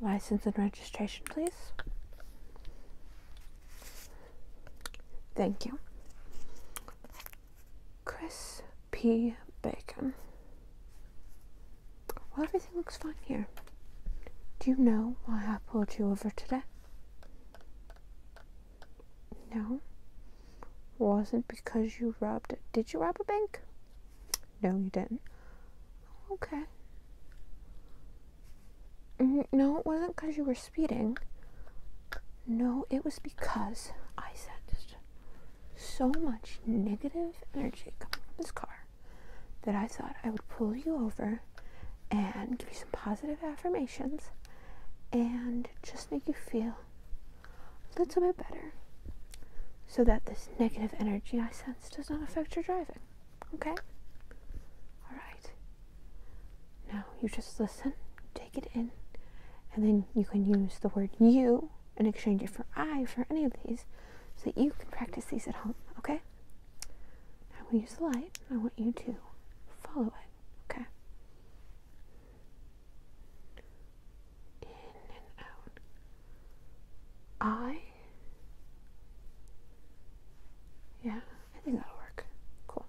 License and registration, please. Thank you. Chris P. Bacon. Well, everything looks fine here. Do you know why I pulled you over today? No. Wasn't because you robbed. Did you rob a bank? No, you didn't. Okay. Mm, no, it wasn't because you were speeding. No, it was because I sensed so much negative energy coming from this car that I thought I would pull you over and give you some positive affirmations and just make you feel a little bit better so that this negative energy I sense does not affect your driving. Okay? Alright. Now you just listen, take it in, and then you can use the word you and exchange it for I for any of these so that you can practice these at home. Okay? I will use the light, I want you to follow it. Okay? in and out. I. Yeah, I think that'll work. Cool.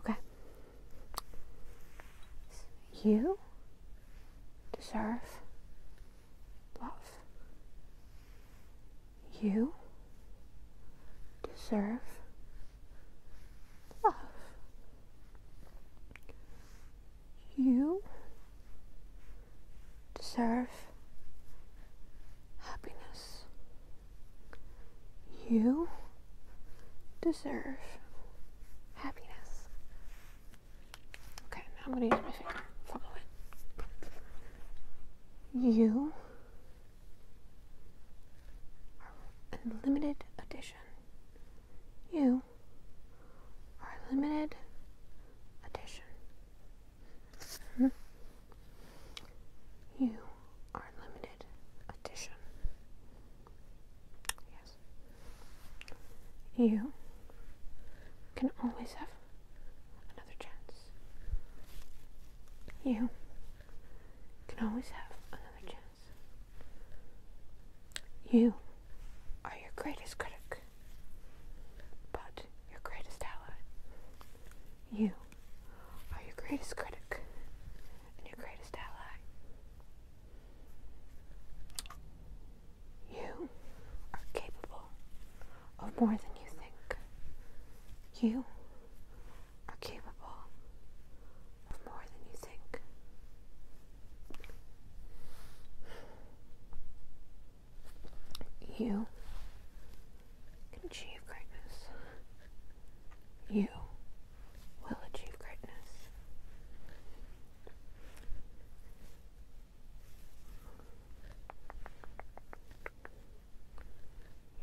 Okay. You deserve love. You deserve love. You deserve happiness. You deserve happiness. Okay, now I'm going to use my finger. Follow it. You a limited edition. You are a limited edition. You are limited edition. Yes. You can always have another chance. You can always have another chance. You are your greatest critic, but your greatest ally. You are your greatest critic and your greatest ally. You are capable of more than you think. You are capable of more than you think. You can achieve greatness. You will achieve greatness.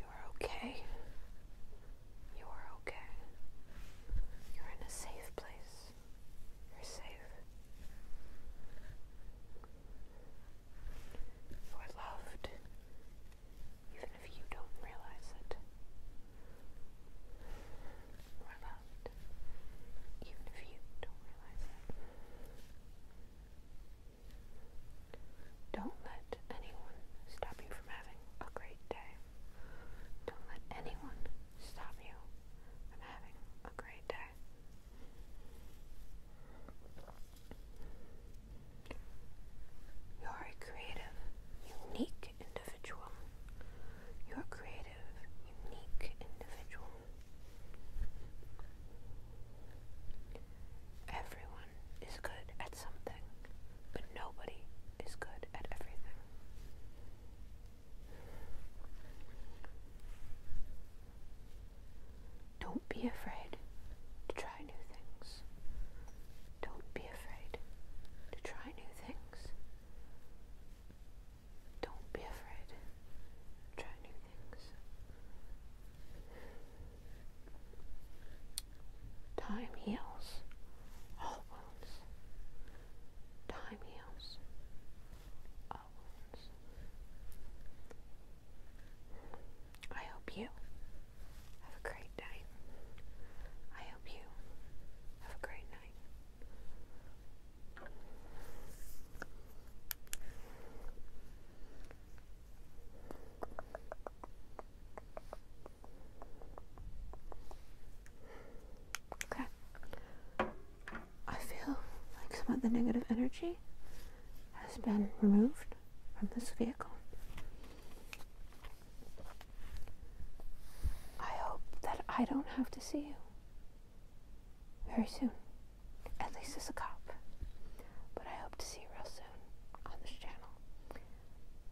You are okay. You are okay. You're in a safe place. You're safe. You are loved, even if you don't realize it more loved, even if you don't realize it. Don't let anyone stop you from having a great day. Don't let anyone stop you from having a great day. You're a creative, unique individual you're creative, unique individual. Everyone is good at something, but nobody is good at everything. Don't be afraid to try new things. Don't be afraid to try new things. Don't be afraid. Try new things. Time heals all wounds. Time heals all wounds. I hope you have a great day. I hope you have a great night. Okay. I feel like some of the negative energy has been removed from this vehicle. I hope that I don't have to see you very soon. At least as a cop. But I hope to see you real soon on this channel.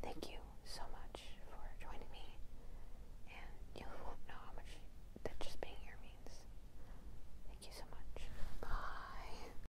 Thank you so much for joining me. And you know how much that just being here means. Thank you so much. Bye.